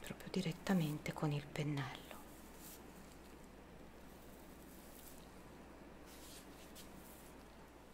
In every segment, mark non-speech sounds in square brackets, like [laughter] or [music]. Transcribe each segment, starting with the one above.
proprio direttamente con il pennello.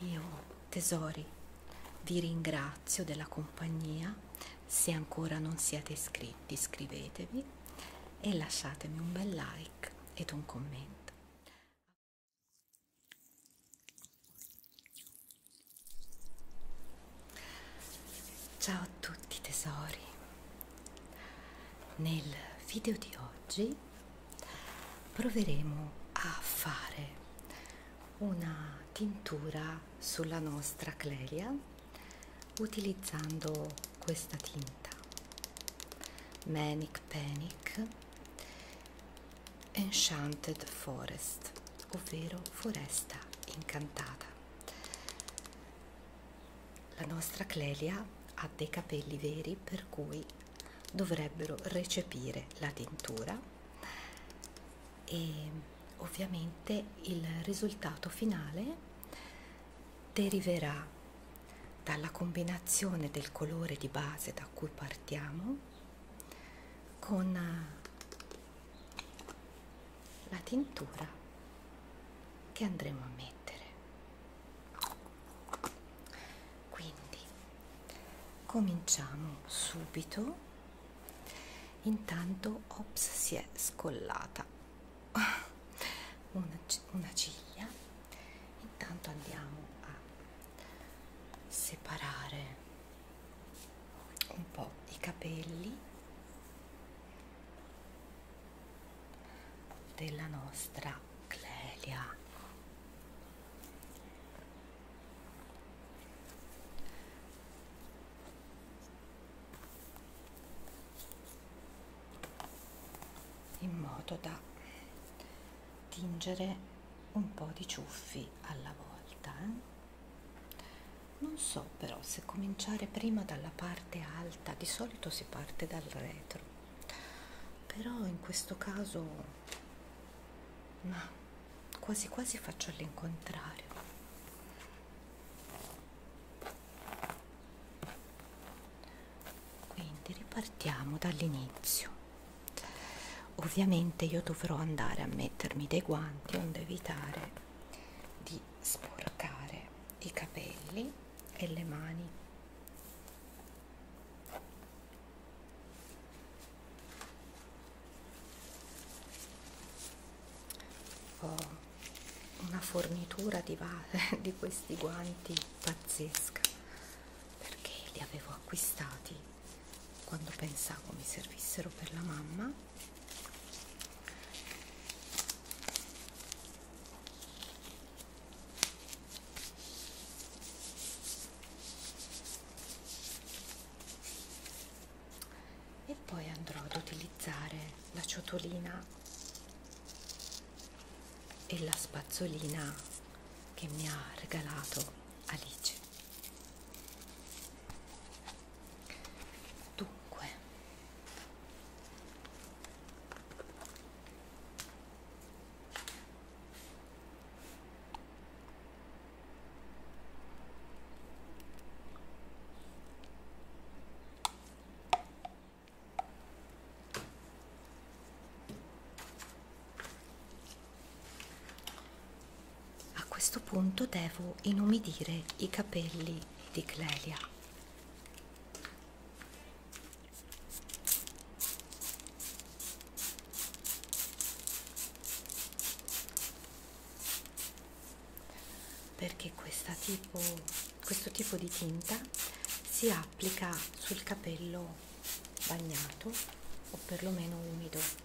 Io, tesori, vi ringrazio della compagnia. Se ancora non siete iscritti, iscrivetevi e lasciatemi un bel like ed un commento. Ciao a tutti tesori. Nel video di oggi proveremo a fare una tintura sulla nostra clelia utilizzando questa tinta Manic Panic Enchanted Forest, ovvero foresta incantata. La nostra Clelia ha dei capelli veri per cui dovrebbero recepire la tintura e ovviamente il risultato finale deriverà dalla combinazione del colore di base da cui partiamo con eh, la tintura che andremo a mettere mettere quindi cominciamo subito intanto ops si è scollata una, una ciglia intanto andiamo a separare un po' i capelli della nostra Clelia in modo da tingere un po' di ciuffi alla volta eh? non so però se cominciare prima dalla parte alta alta di solito si parte dal retro però in questo caso ma quasi quasi faccio all'incontrario quindi ripartiamo dall'inizio ovviamente io dovrò andare a mettermi dei guanti onde evitare di sporcare i capelli e le mani ho una fornitura di, [laughs] di questi guanti pazzesca perché li avevo acquistati quando pensavo mi servissero per la mamma e poi andrò ad utilizzare la ciotolina e la spazzolina che mi ha regalato Alice dunque a questo punto devo inumidire i capelli di Clelia perché questa tipo, questo tipo di tinta si applica sul capello bagnato o perlomeno umido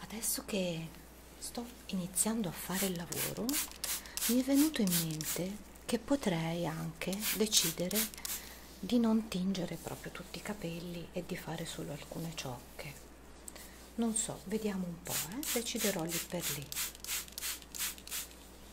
adesso che sto iniziando a fare il lavoro mi è venuto in mente che potrei anche decidere di non tingere proprio tutti i capelli e di fare solo alcune ciocche non so vediamo un po' eh? deciderò lì per lì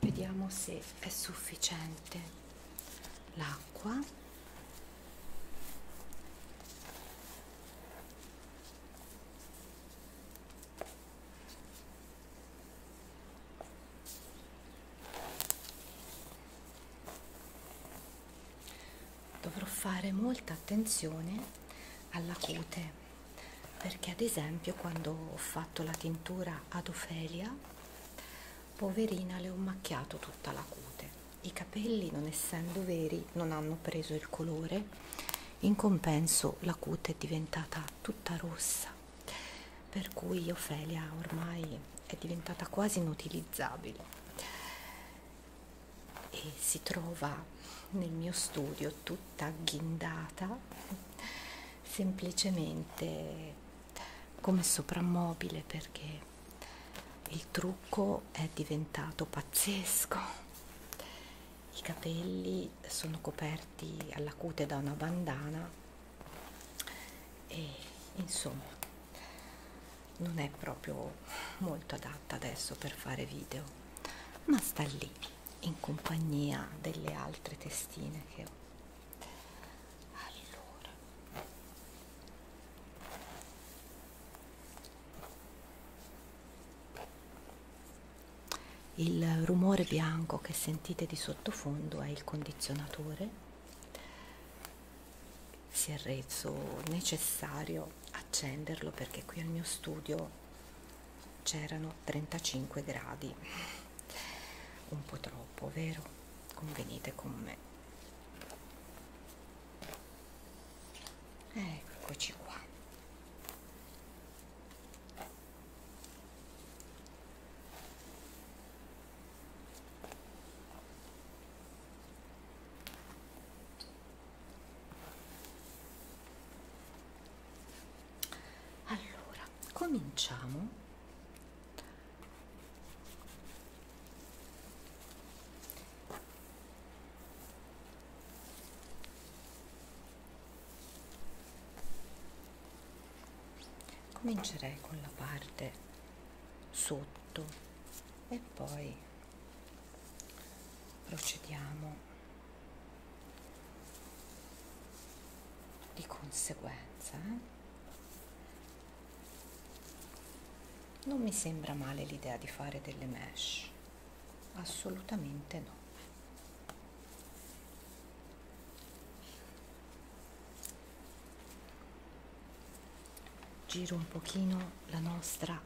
vediamo se è sufficiente l'acqua dovrò fare molta attenzione alla cute perché ad esempio quando ho fatto la tintura ad Ofelia poverina le ho macchiato tutta la cute i capelli non essendo veri non hanno preso il colore in compenso la cute è diventata tutta rossa per cui Ofelia ormai è diventata quasi inutilizzabile e si trova nel mio studio tutta agghindata semplicemente come soprammobile perché il trucco è diventato pazzesco i capelli sono coperti alla cute da una bandana e insomma non è proprio molto adatta adesso per fare video ma sta lì in compagnia delle altre testine che ho allora il rumore bianco che sentite di sottofondo è il condizionatore si è reso necessario accenderlo perché qui al mio studio c'erano 35 gradi un po' troppo vero convenite con me eccoci qua allora, cominciamo comincerei con la parte sotto e poi procediamo di conseguenza eh? non mi sembra male l'idea di fare delle mesh assolutamente no giro un pochino la nostra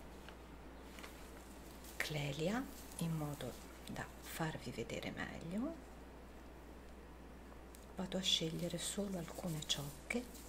clelia in modo da farvi vedere meglio vado a scegliere solo alcune ciocche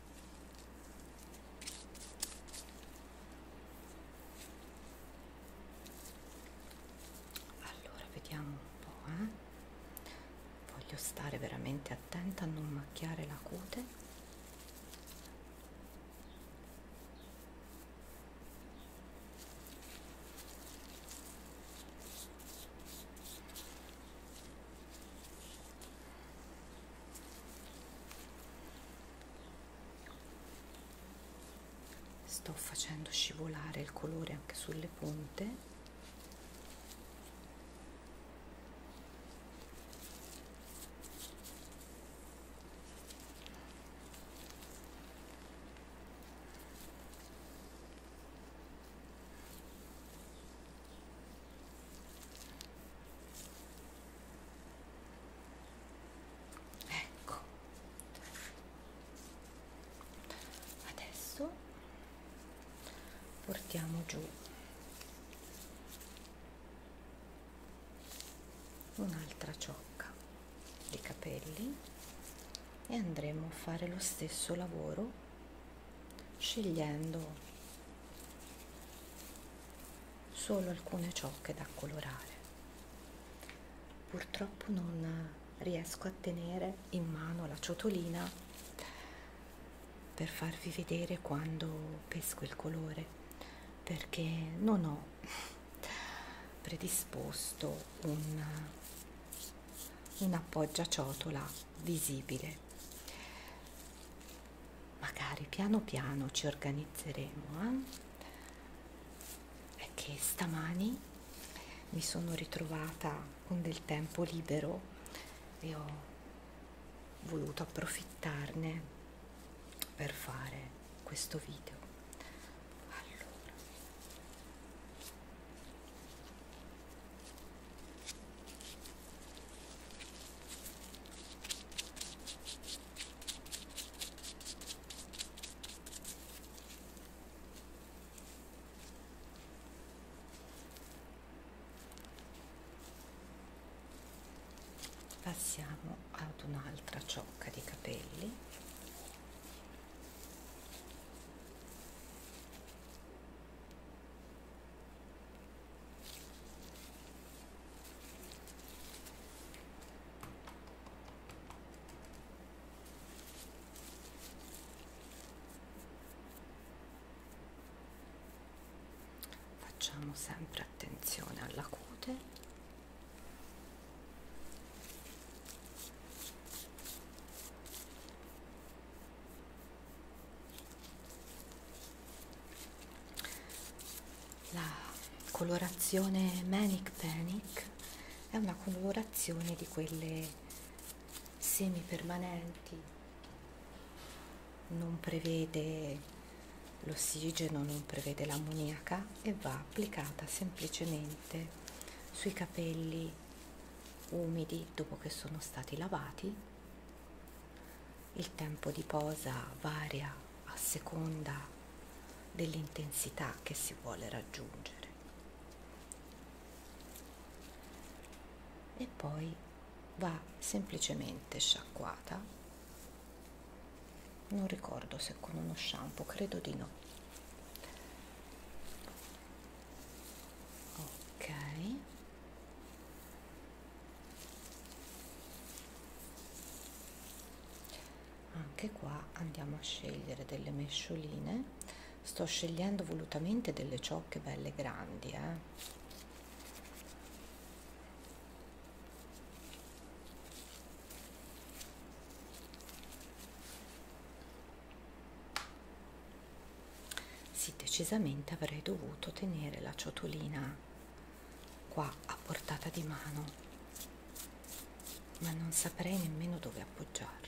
allora vediamo un po' eh. voglio stare veramente attenta a non macchiare la cute sto facendo scivolare il colore anche sulle punte ecco adesso portiamo giù un'altra ciocca di capelli e andremo a fare lo stesso lavoro scegliendo solo alcune ciocche da colorare. Purtroppo non riesco a tenere in mano la ciotolina per farvi vedere quando pesco il colore perché non ho predisposto un, un appoggiaciotola visibile magari piano piano ci organizzeremo eh? è che stamani mi sono ritrovata con del tempo libero e ho voluto approfittarne per fare questo video allora passiamo ad un'altra ciocca di capelli facciamo sempre attenzione alla cute la colorazione Manic Panic è una colorazione di quelle semi permanenti, non prevede l'ossigeno, non prevede l'ammoniaca e va applicata semplicemente sui capelli umidi dopo che sono stati lavati il tempo di posa varia a seconda dell'intensità che si vuole raggiungere. E poi va semplicemente sciacquata. Non ricordo se con uno shampoo, credo di no. Ok anche qua andiamo a scegliere delle mescioline sto scegliendo volutamente delle ciocche belle grandi eh. Sì, decisamente avrei dovuto tenere la ciotolina qua a portata di mano, ma non saprei nemmeno dove appoggiarla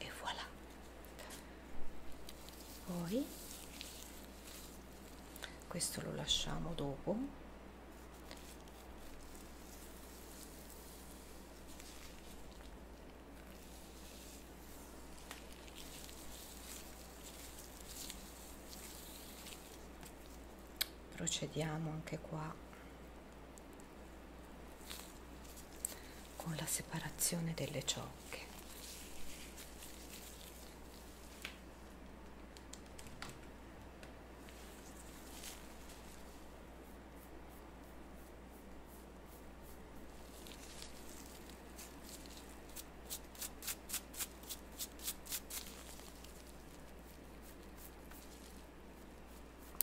e voilà poi questo lo lasciamo dopo procediamo anche qua con la separazione delle ciocche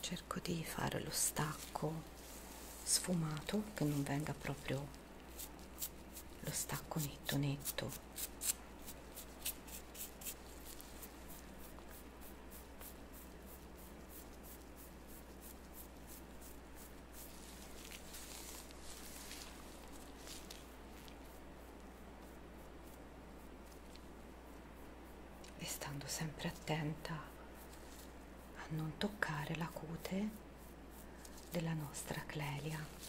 cerco di fare lo stacco sfumato che non venga proprio lo stacco netto netto e stando sempre attenta a non toccare la cute della nostra clelia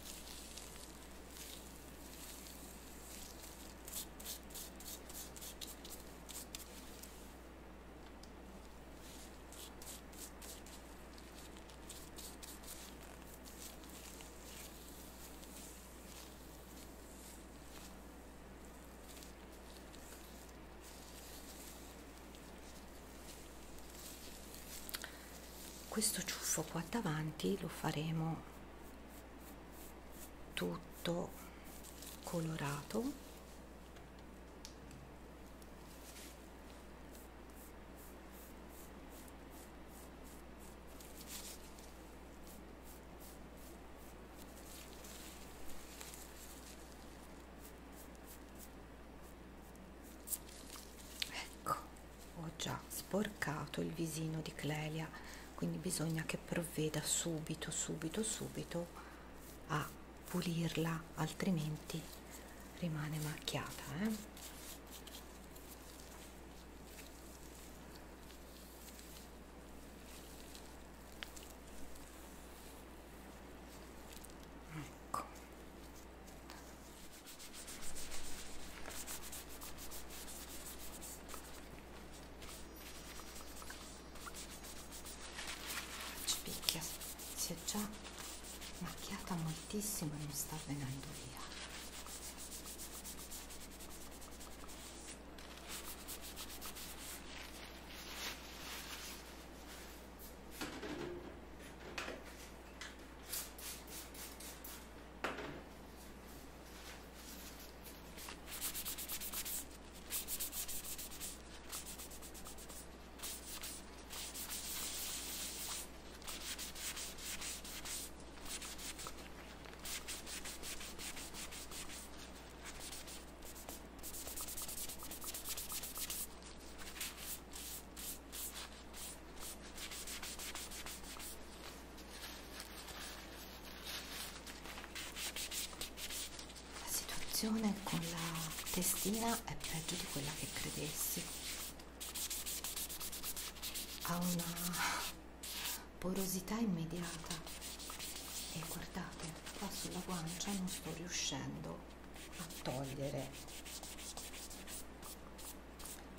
questo ciuffo qua davanti lo faremo tutto colorato Ecco, ho già sporcato il visino di Clelia, quindi bisogna che provveda subito, subito, subito a pulirla altrimenti rimane macchiata eh? Ecco. Ci picchia, si è già macchiata moltissimo e non sta venendo via la situazione con la testina è peggio di quella che credessi ha una porosità immediata e guardate qua sulla guancia non sto riuscendo a togliere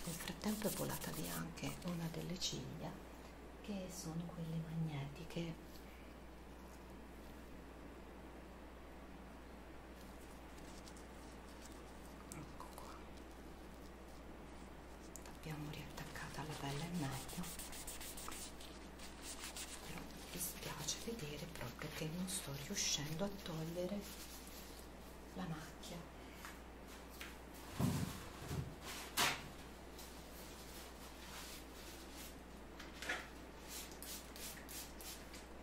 nel frattempo è volata via anche una delle ciglia che sono quelle magnetiche Ecco qua. L'abbiamo riattaccata alla pelle al meglio. Però mi dispiace vedere proprio che non sto riuscendo a togliere la macchia. Ecco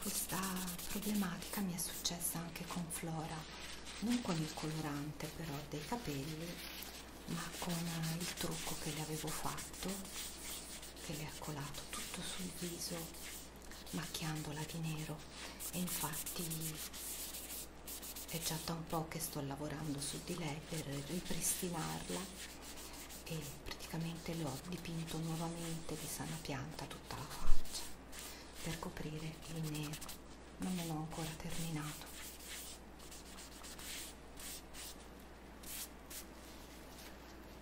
Questa problematica mi è successa anche con Flora, non con il colorante però dei capelli, ma con il trucco che le avevo fatto, che le ha colato tutto sul viso macchiandola di nero e infatti è già da un po' che sto lavorando su di lei per ripristinarla e praticamente le ho dipinto nuovamente di sana pianta tutta la faccia per coprire il nero non ne l'ho ancora terminato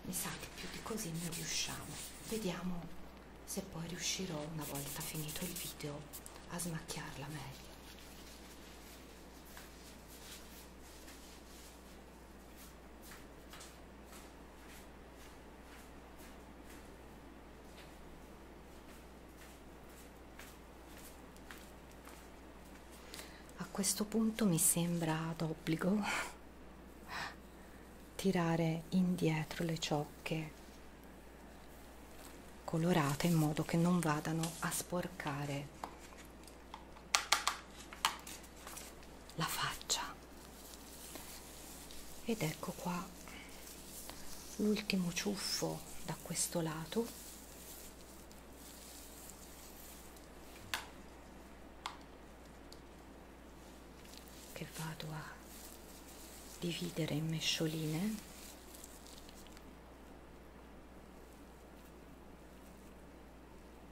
mi sa che più di così non riusciamo vediamo se poi riuscirò una volta finito il video a smacchiarla meglio a questo punto mi sembra d'obbligo tirare indietro le ciocche colorate in modo che non vadano a sporcare la faccia ed ecco qua l'ultimo ciuffo da questo lato che vado a dividere in mescioline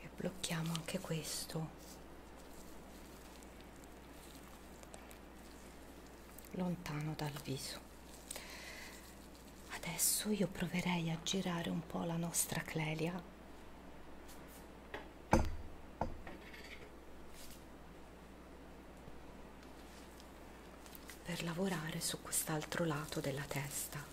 e blocchiamo anche questo lontano dal viso adesso io proverei a girare un po' la nostra clelia per lavorare su quest'altro lato della testa.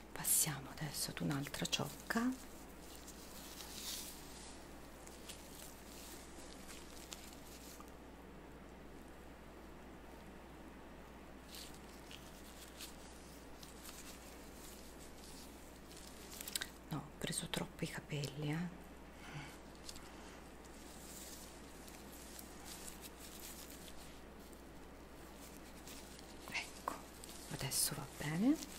passiamo adesso ad un'altra ciocca no ho preso troppo i capelli eh ecco adesso va bene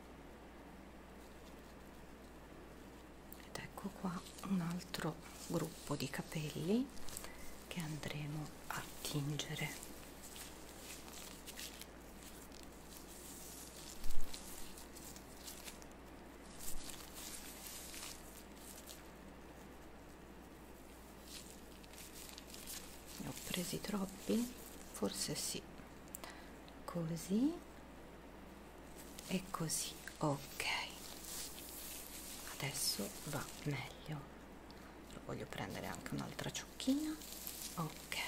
ed ecco qua un altro gruppo di capelli che andremo a tingere ne ho presi troppi forse sì così e così ok adesso va meglio Io voglio prendere anche un'altra ciocchina ok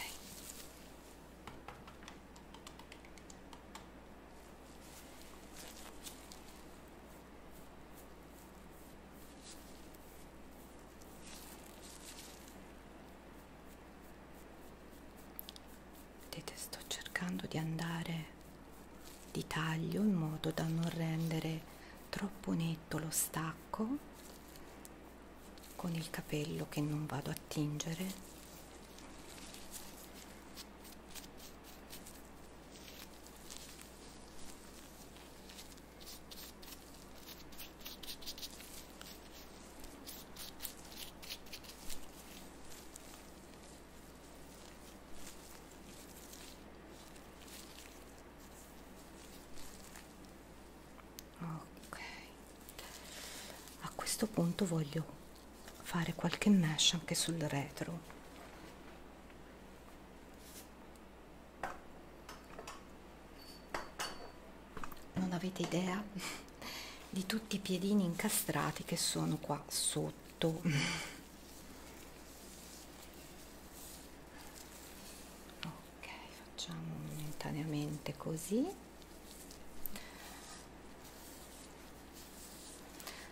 vedete sto cercando di andare di taglio in modo da non rendere troppo netto lo stacco con il capello che non vado a tingere Ok, a questo punto voglio fare qualche mesh anche sul retro non avete idea di tutti i piedini incastrati che sono qua sotto ok facciamo momentaneamente così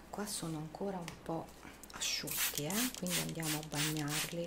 qua sono ancora un po' asciutti eh? quindi andiamo a bagnarli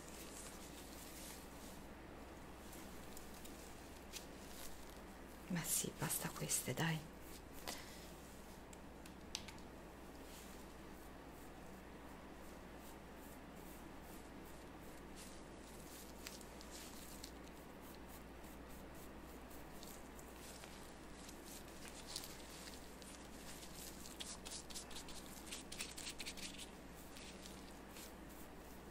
Ma sì, basta queste, dai.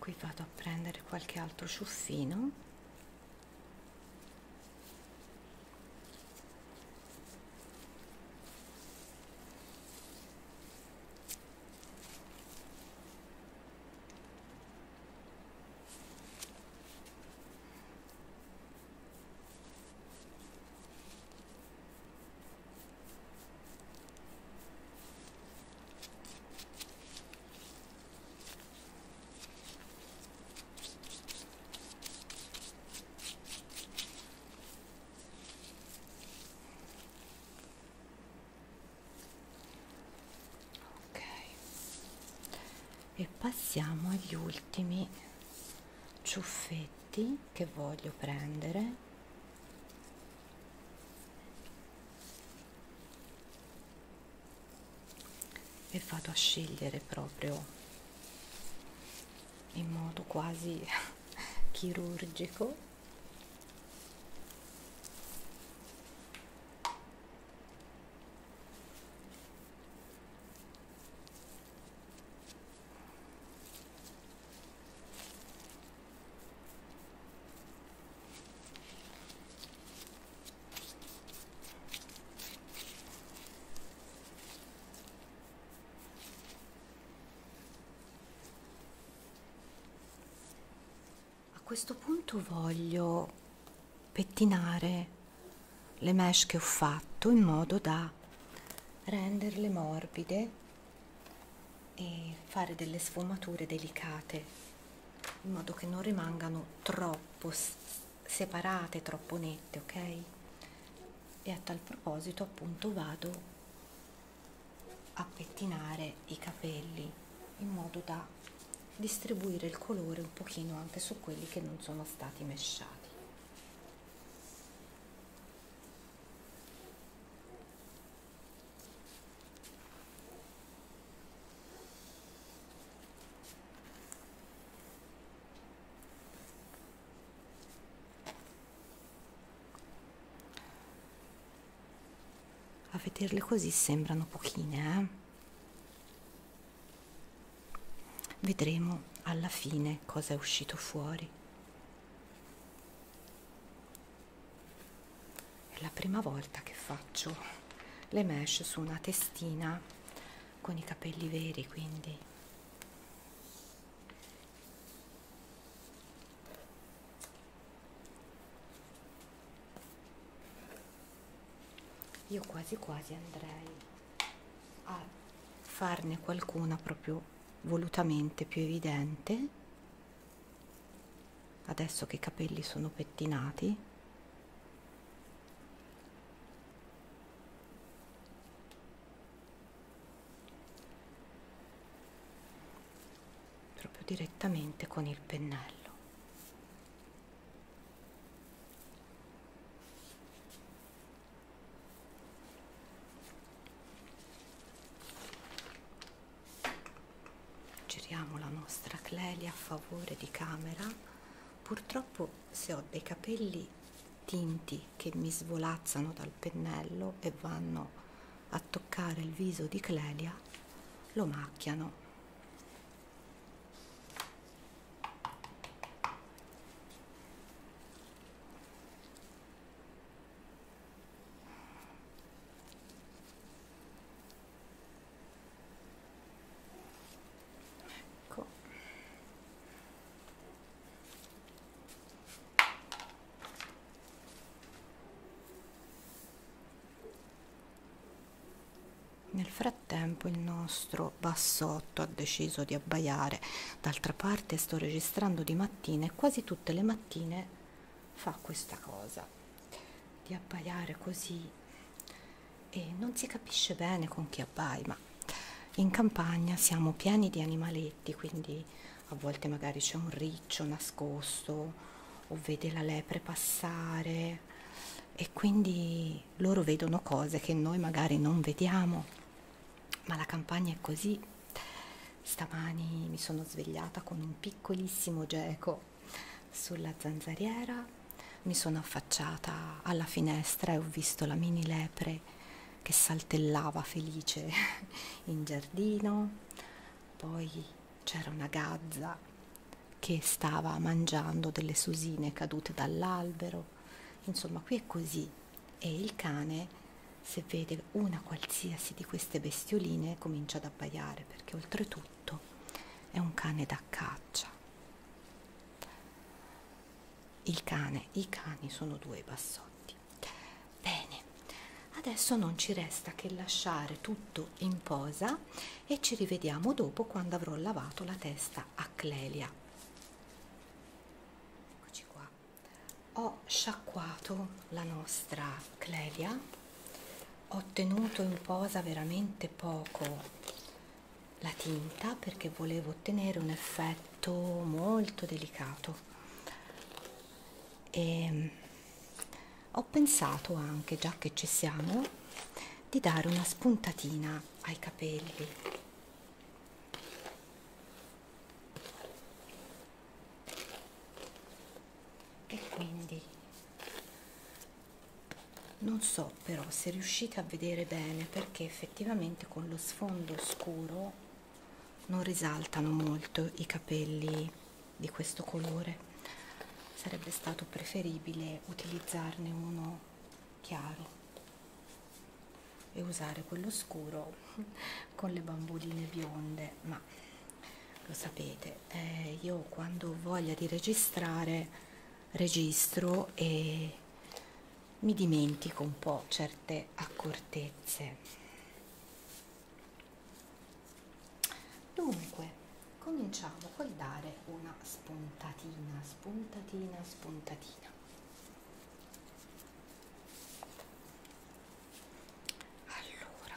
qui vado a prendere qualche altro ciuffino ok e passiamo agli ultimi ciuffetti che voglio prendere e vado a scegliere proprio in modo quasi [laughs] chirurgico a questo punto voglio pettinare le mesh che ho fatto in modo da renderle morbide e fare delle sfumature delicate in modo che non rimangano troppo separate, troppo nette, ok? E a tal proposito appunto vado a pettinare i capelli in modo da distribuire il colore un pochino anche su quelli che non sono stati mesciati a vederle così sembrano pochine, eh? Vedremo alla fine cosa è uscito fuori. È la prima volta che faccio le mesh su una testina con i capelli veri, quindi io quasi quasi andrei a farne qualcuna proprio volutamente più evidente adesso che i capelli sono pettinati proprio direttamente con il pennello giriamo la nostra Clelia a favore di camera purtroppo se ho dei capelli tinti che mi svolazzano dal pennello e vanno a toccare il viso di Clelia lo macchiano Ecco. Nel frattempo il nostro bassotto ha deciso di abbaiare, d'altra parte sto registrando di mattina e quasi tutti tutte le mattine fa questa cosa di abbaiare così e non si capisce bene con chi abbai ma in campagna siamo pieni di animaletti quindi a volte magari c'è un riccio nascosto o vede la lepre passare e quindi loro vedono cose che noi magari non vediamo ma la campagna è così. Stamani mi sono svegliata con un piccolissimo geco sulla zanzariera, mi sono affacciata alla finestra e ho visto la mini lepre che saltellava felice [laughs] in giardino, poi c'era una gazza che stava mangiando delle susine cadute dall'albero. Insomma, qui è così, e il cane se vede una qualsiasi di queste bestioline comincia ad abbaiare perché oltretutto è un cane da caccia il cane i cani sono due bassotti bene adesso non ci resta che lasciare tutto in posa e ci rivediamo dopo quando avrò lavato la testa a clelia eccoci qua ho sciacquato la nostra clelia ho tenuto in posa veramente poco la tinta perché volevo ottenere un effetto molto delicato e ehm, ho pensato anche già che ci siamo di dare una spuntatina ai capelli e quindi non so però se riuscite a vedere bene perché effettivamente con lo sfondo scuro non risaltano molto i capelli di questo colore sarebbe stato preferibile utilizzarne uno chiaro e usare quello scuro [laughs] con le bamboline bionde ma lo sapete eh, io quando ho voglia di registrare registro e mi dimentico un po' certe accortezze dunque cominciamo col dare una spuntatina spuntatina spuntatina allora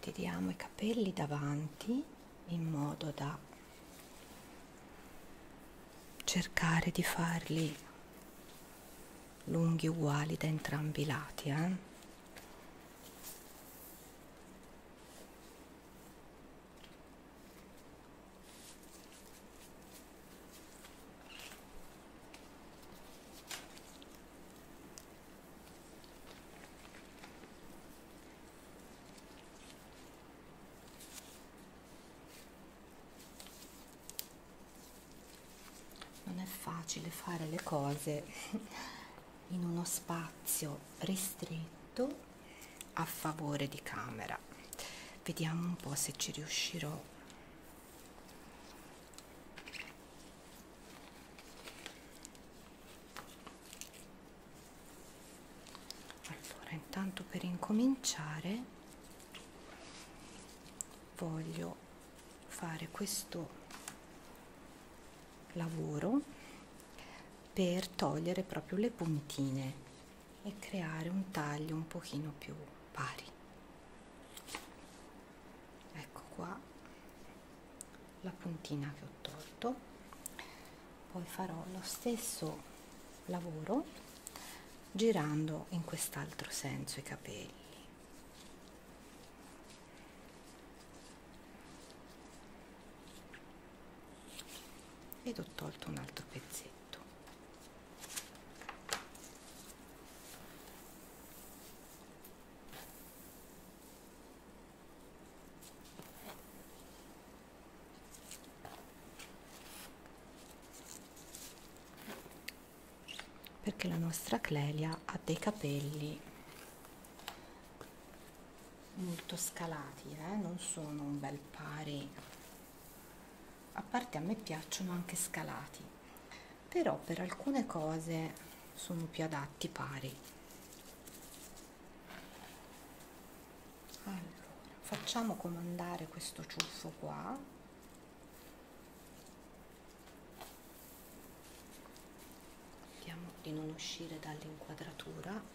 tiriamo i capelli davanti in modo da cercare di farli lunghi uguali da entrambi i lati eh? non è facile fare le cose [laughs] in uno spazio ristretto a favore di camera vediamo un po se ci riuscirò allora, intanto per incominciare voglio fare questo lavoro per togliere proprio le puntine e creare un taglio un pochino più pari ecco qua la puntina che ho tolto poi farò lo stesso lavoro girando in quest'altro senso i capelli ed ho tolto un altro pezzettino pezzetto perché la nostra Clelia ha dei capelli molto scalati, eh? non sono un bel pari a parte a me piacciono anche scalati però per alcune cose sono più adatti pari allora, facciamo comandare questo ciuffo qua vediamo di non uscire dall'inquadratura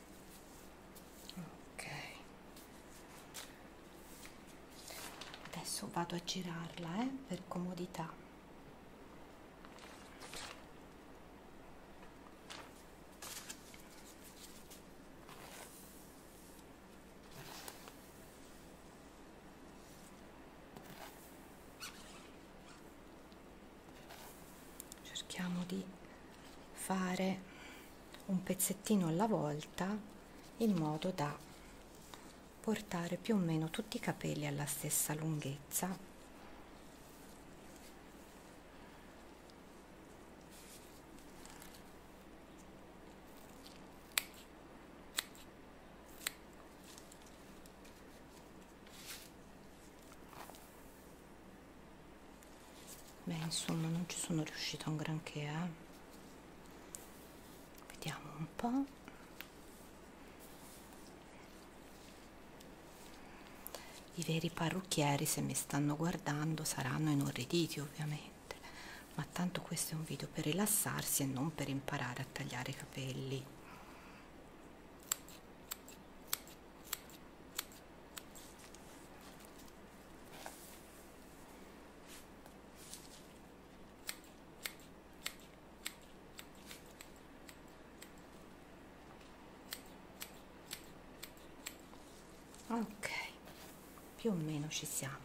ok adesso vado a girarla eh, per comodità cerchiamo di fare un pezzettino alla volta in modo da portare più o meno tutti i capelli alla stessa lunghezza Beh, insomma, non ci sono riuscita un granché, eh. Vediamo un po'. I veri parrucchieri, se mi stanno guardando, saranno inorriditi, ovviamente. Ma tanto questo è un video per rilassarsi e non per imparare a tagliare i capelli ok più o meno ci siamo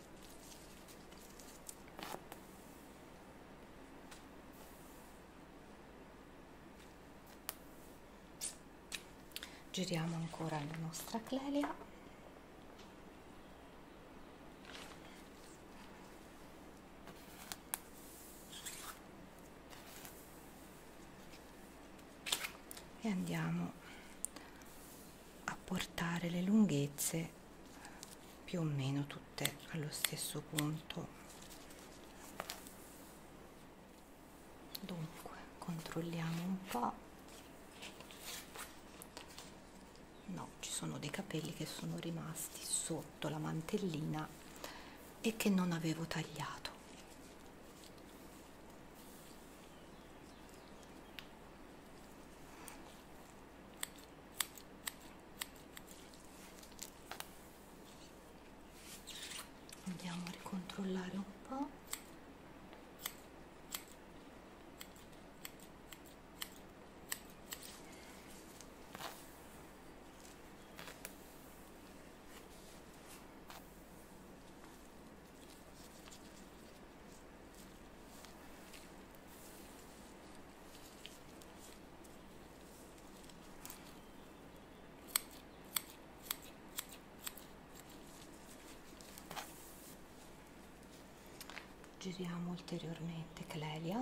giriamo ancora la nostra clelia e andiamo a portare le lunghezze più o meno tutte allo stesso punto dunque controlliamo un po no ci sono dei capelli che sono rimasti sotto la mantellina e che non avevo tagliato andiamo a ricontrollare un po' giriamo ulteriormente Clelia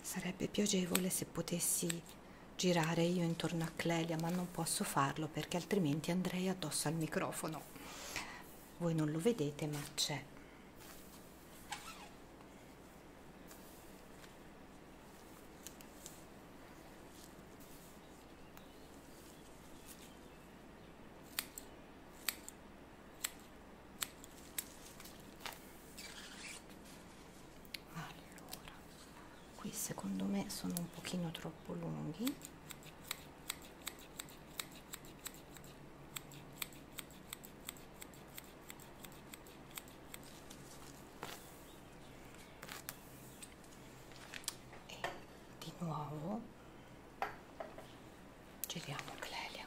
Sarebbe più agevole se potessi girare io intorno a Clelia, ma non posso farlo perché altrimenti andrei addosso al microfono. Voi non lo vedete, ma c'è allora qui secondo me sono un pochino troppo lunghi e di nuovo giriamo Clelia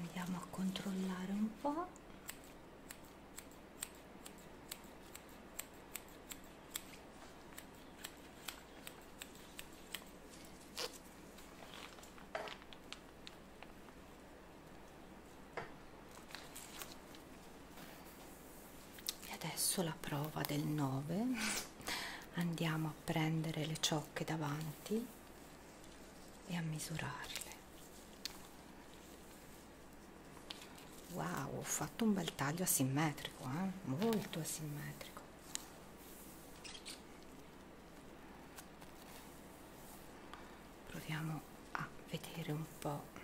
andiamo a controllare un po' e adesso la prova del 9 andiamo a prendere le ciocche davanti e a misurarle. Wow, ho fatto un bel taglio asimmetrico, eh? molto asimmetrico. Proviamo a vedere un po'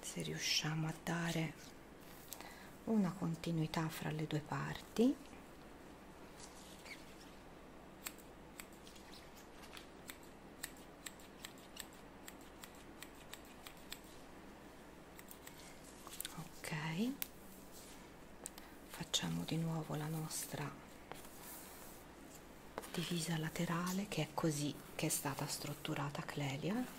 se riusciamo a dare una continuità fra le due parti ok facciamo di nuovo la nostra divisa laterale che è così che è stata strutturata clelia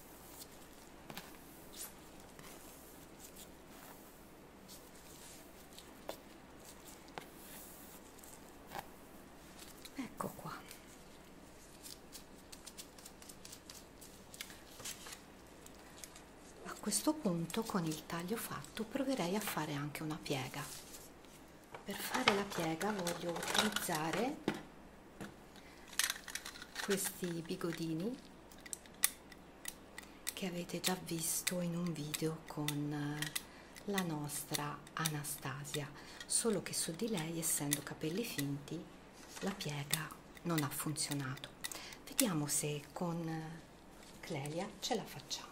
Ecco qua. A questo punto con il taglio fatto proverei a fare anche una piega. Per fare la piega voglio utilizzare questi bigodini che avete già visto in un video con eh, la nostra Anastasia solo che su di lei essendo capelli finti la piega non ha funzionato vediamo se con eh, Clelia ce la facciamo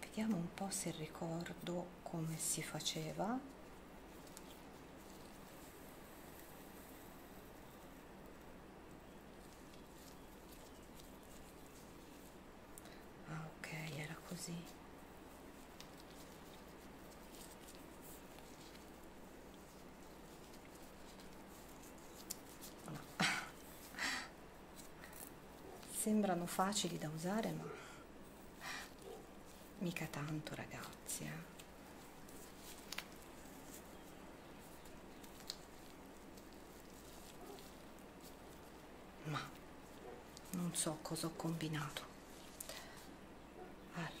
vediamo un po' se ricordo come si faceva ah, ok era così Sembrano facili da usare, ma mica tanto ragazzi. Eh. Ma non so cosa ho combinato. Allora.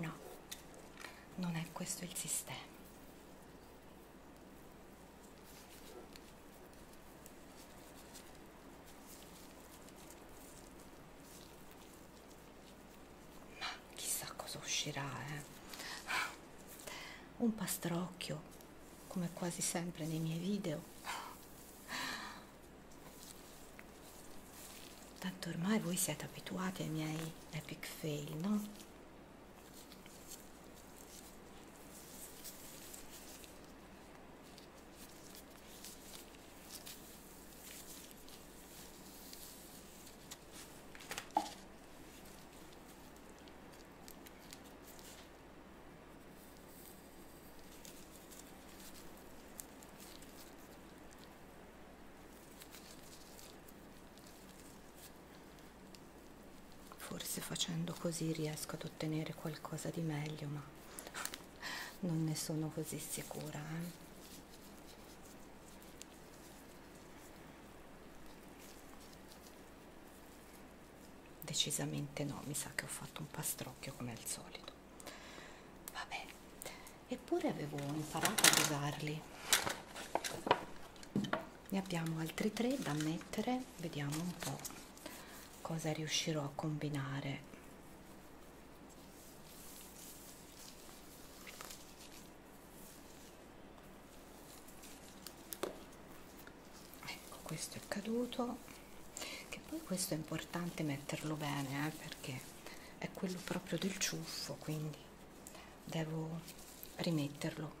No, non è questo il sistema. Ma chissà cosa uscirà, eh. Un pastrocchio, come quasi sempre nei miei video. Tanto ormai voi siete abituati ai miei epic fail, no? Forse facendo così riesco ad ottenere qualcosa di meglio, ma non ne sono così sicura. Eh? Decisamente no, mi sa che ho fatto un pastrocchio come al solito vabbè eppure avevo imparato ad usarli ne abbiamo altri tre da mettere vediamo un po cosa riuscirò a combinare ecco questo è caduto che poi questo è importante metterlo bene eh, perché è quello proprio del ciuffo quindi devo rimetterlo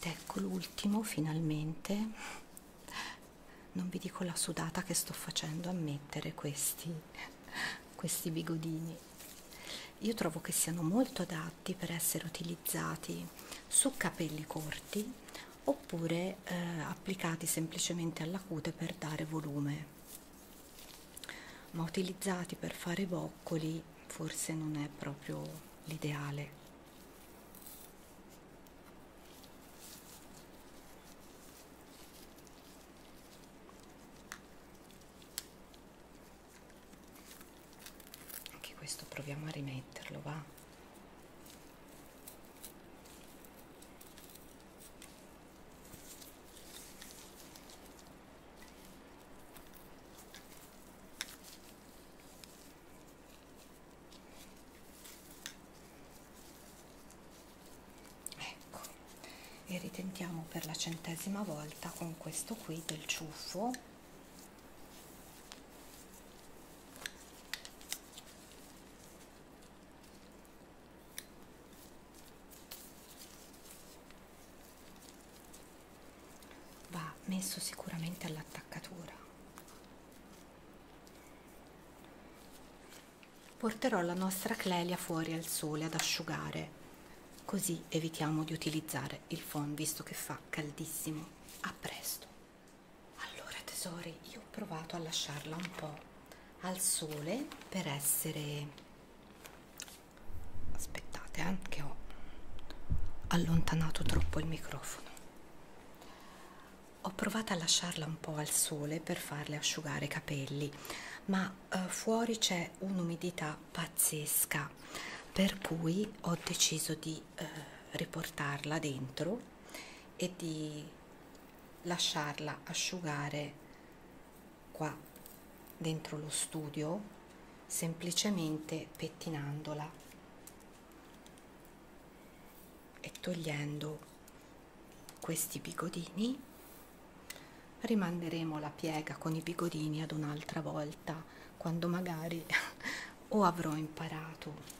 Ed ecco l'ultimo finalmente non vi dico la sudata che sto facendo a mettere questi, questi bigodini. Io trovo che siano molto adatti per essere utilizzati su capelli corti oppure eh, applicati semplicemente alla cute per dare volume. Ma utilizzati per fare boccoli forse non è proprio l'ideale anche questo proviamo a rimetterlo va ecco e ritentiamo per la centesima volta con questo qui del ciuffo va messo sicuramente all'attaccatura Porterò la nostra Clelia fuori al sole ad asciugare, così evitiamo di utilizzare il phon visto che fa caldissimo. A presto. Allora tesori, io ho provato a lasciarla un po' al sole per essere aspettate eh, che ho allontanato troppo il microfono ho provato a lasciarla un po' al sole per farle asciugare i capelli ma eh, fuori c'è un'umidità pazzesca per cui ho deciso di eh, riportarla dentro e di lasciarla asciugare qua dentro lo studio semplicemente pettinandola e togliendo questi bigodini rimanderemo la piega con i bigodini ad un'altra volta quando magari [laughs] o avrò imparato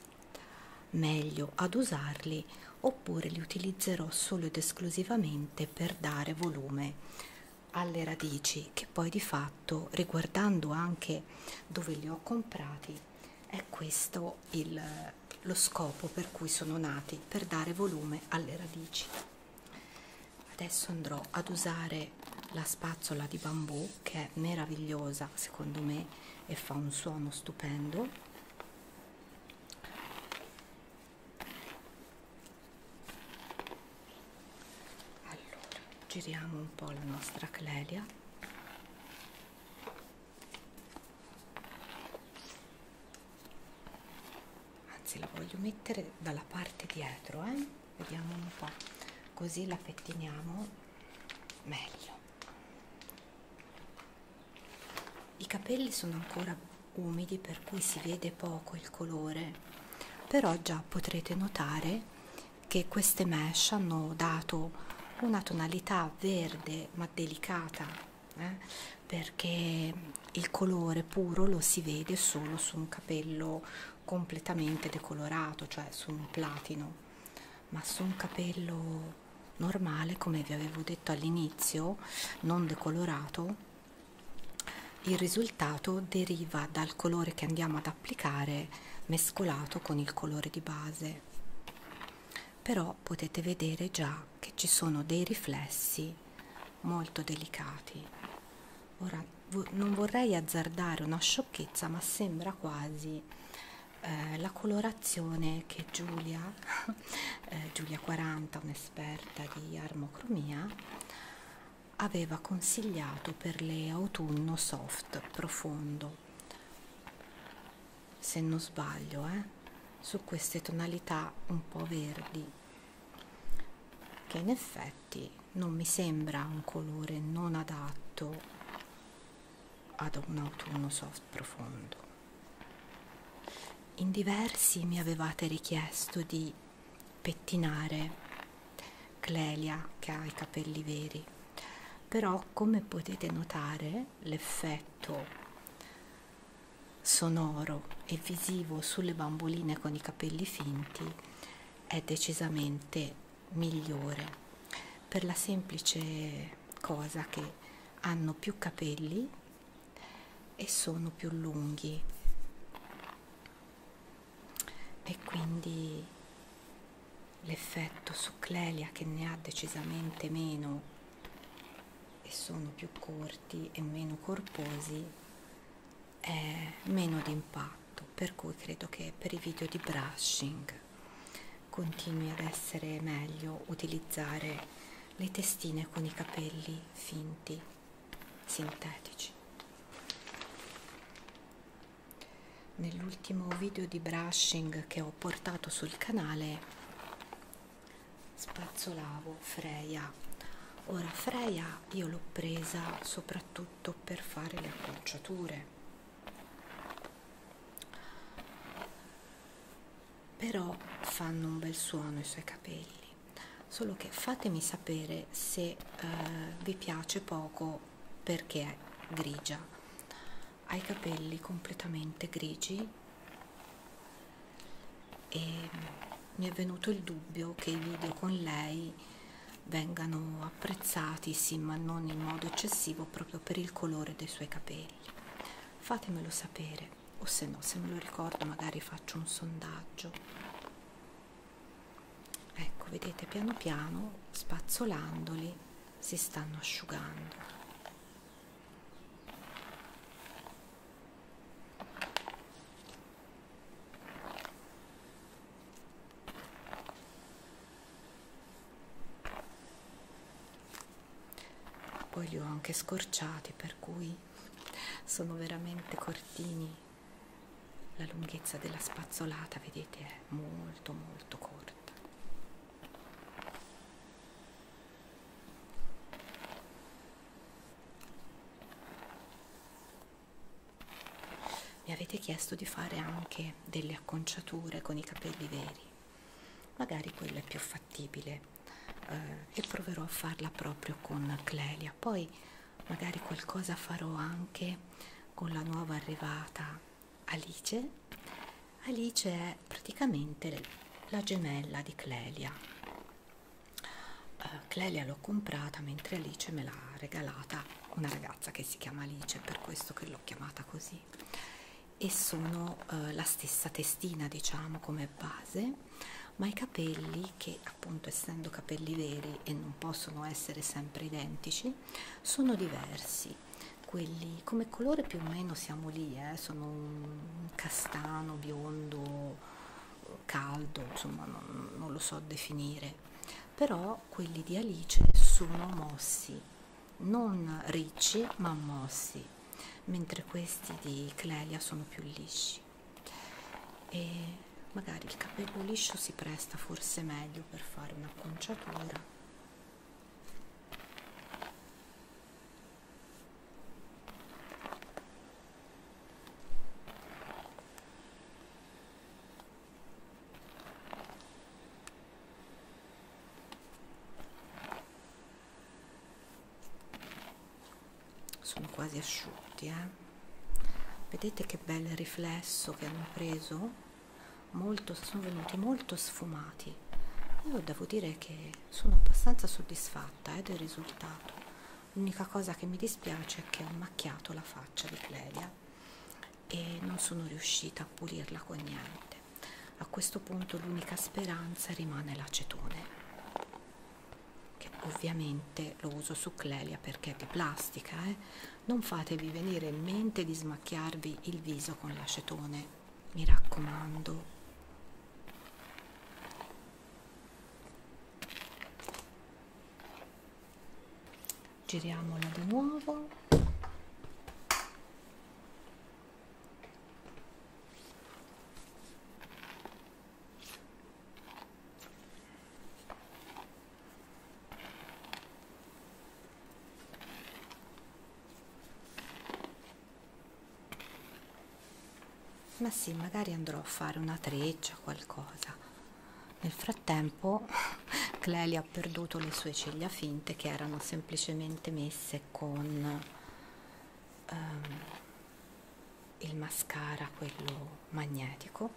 meglio ad usarli oppure li utilizzerò solo ed esclusivamente per dare volume alle radici che poi di fatto riguardando anche dove li ho comprati è questo il lo scopo per cui sono nati, per dare volume alle radici. Adesso andrò ad usare la spazzola di bambù che è meravigliosa secondo me e fa un suono stupendo. Allora, giriamo un po' la nostra clelia anzi la voglio mettere dalla parte dietro eh? vediamo un po' così la pettiniamo meglio i capelli sono ancora umidi per cui si vede poco il colore però già potrete notare che queste mesh hanno dato una tonalità verde ma delicata eh? perché il colore puro lo si vede solo su un capello completamente decolorato cioè su un platino ma su un capello normale come vi avevo detto all'inizio non decolorato il risultato deriva dal colore che andiamo ad applicare mescolato con il colore di base però però potete vedere già che ci sono dei riflessi molto delicati ora non vorrei azzardare una sciocchezza ma sembra quasi eh, la colorazione che Giulia [laughs] eh, Giulia 40 un'esperta di armocromia aveva consigliato per le autunno soft profondo se non sbaglio, eh, su queste tonalità un po' verdi, che in effetti non mi sembra un colore non adatto ad un autunno soft profondo. In diversi mi avevate richiesto di pettinare Clelia che ha i capelli veri, però come potete notare l'effetto sonoro e visivo sulle bamboline con i capelli finti è decisamente migliore per la semplice cosa che hanno più capelli e sono più lunghi e quindi l'effetto su Clelia che ne ha decisamente meno e sono più corti e meno corposi è meno di impatto per cui credo che per i video di brushing continui ad essere meglio utilizzare le testine con i capelli finti sintetici nell'ultimo video di brushing che ho ho portato sul canale spazzolavo Freya ora Freya io l'ho presa soprattutto per fare le acconciature però fanno un bel suono i suoi capelli solo che fatemi sapere se eh, vi piace poco perché è grigia ha i capelli completamente grigi e mi è venuto il dubbio che i video con lei vengano apprezzati sì ma non in modo eccessivo proprio per il colore dei suoi capelli fatemelo sapere o se no se me lo ricordo magari faccio un sondaggio ecco vedete piano piano spazzolandoli si stanno asciugando poi li ho anche scorciati, per cui sono veramente cortini. La lunghezza della spazzolata, vedete, è molto molto corta. Mi avete chiesto di fare anche delle acconciature con i capelli veri, magari quella è più fattibile eh, e proverò a farla proprio con Clelia. Poi magari qualcosa farò anche con la nuova arrivata Alice Alice è praticamente la gemella di Clelia uh, Clelia l'ho comprata mentre Alice me l'ha regalata una ragazza che si chiama Alice per questo che l'ho chiamata così e sono uh, la stessa testina diciamo come base ma i capelli che appunto essendo capelli veri e non possono essere sempre identici sono diversi quelli come colore più o meno siamo lì, eh? sono un castano, biondo, caldo, insomma non, non lo so definire, però quelli di Alice sono mossi, non ricci ma mossi, mentre questi di Clelia sono più lisci. E magari il capello liscio si presta forse meglio per fare un'acconciatura sono quasi asciutti eh? vedete che bel riflesso che hanno preso molto, sono venuti molto sfumati. Io devo dire che sono abbastanza soddisfatta eh, del risultato. L'unica cosa che mi dispiace è che ho macchiato la faccia di Clelia e non sono riuscita a pulirla con niente. A questo punto l'unica speranza rimane l'acetone, che ovviamente lo uso su Clelia perché è di plastica. Eh? Non fatevi venire in mente di smacchiarvi il viso con l'acetone mi raccomando. Giriamola di nuovo ma sì magari andrò a fare una treccia qualcosa nel frattempo [laughs] Cleli ha perduto le sue ciglia finte che erano semplicemente messe con um, il mascara quello magnetico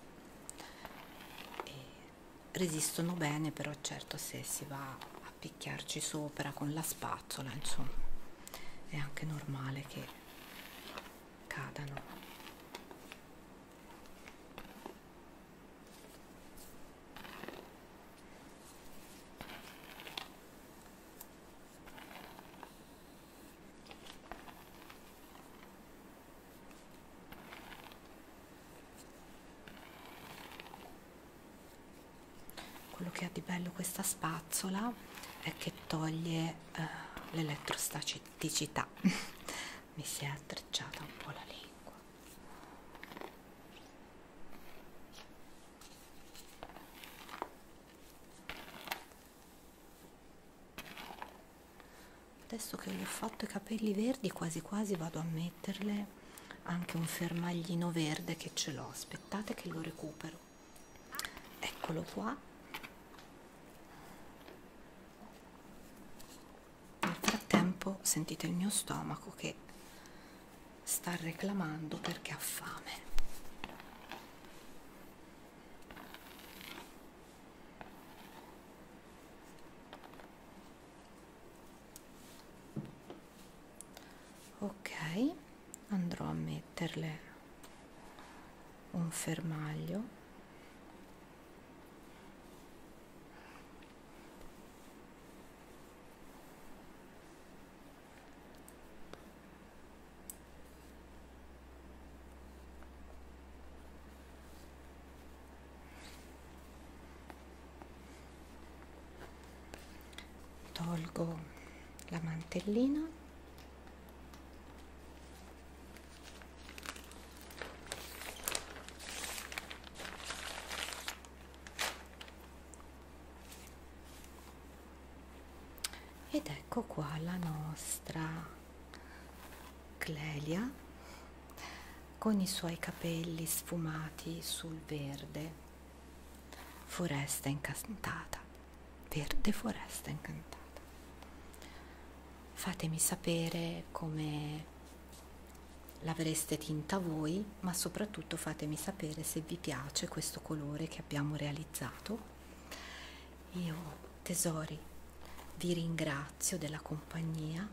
e resistono bene però certo se si va a picchiarci sopra con la spazzola insomma è anche normale che cadano quello che ha di bello questa spazzola è che toglie eh, l'elettrostaticità [laughs] mi si è attrecciata un po' la lingua adesso che gli ho fatto i capelli verdi quasi quasi vado a metterle anche un fermaglino verde che ce l'ho aspettate che lo recupero eccolo qua nel frattempo sentite il mio stomaco che sta reclamando perché ha fame ok andrò a metterle un fermaglio tolgo la mantellina ed ecco qua la nostra clelia con i suoi capelli sfumati sul verde Foresta incantata, verde foresta incantata. Fatemi sapere come l'avreste tinta voi, ma soprattutto fatemi sapere se vi piace questo colore che abbiamo realizzato. Io, tesori, vi ringrazio della compagnia.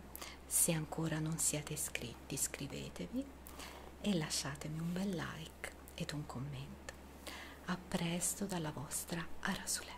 Se ancora non siete iscritti, iscrivetevi e lasciatemi un bel like ed un commento. A presto dalla vostra Arasulè.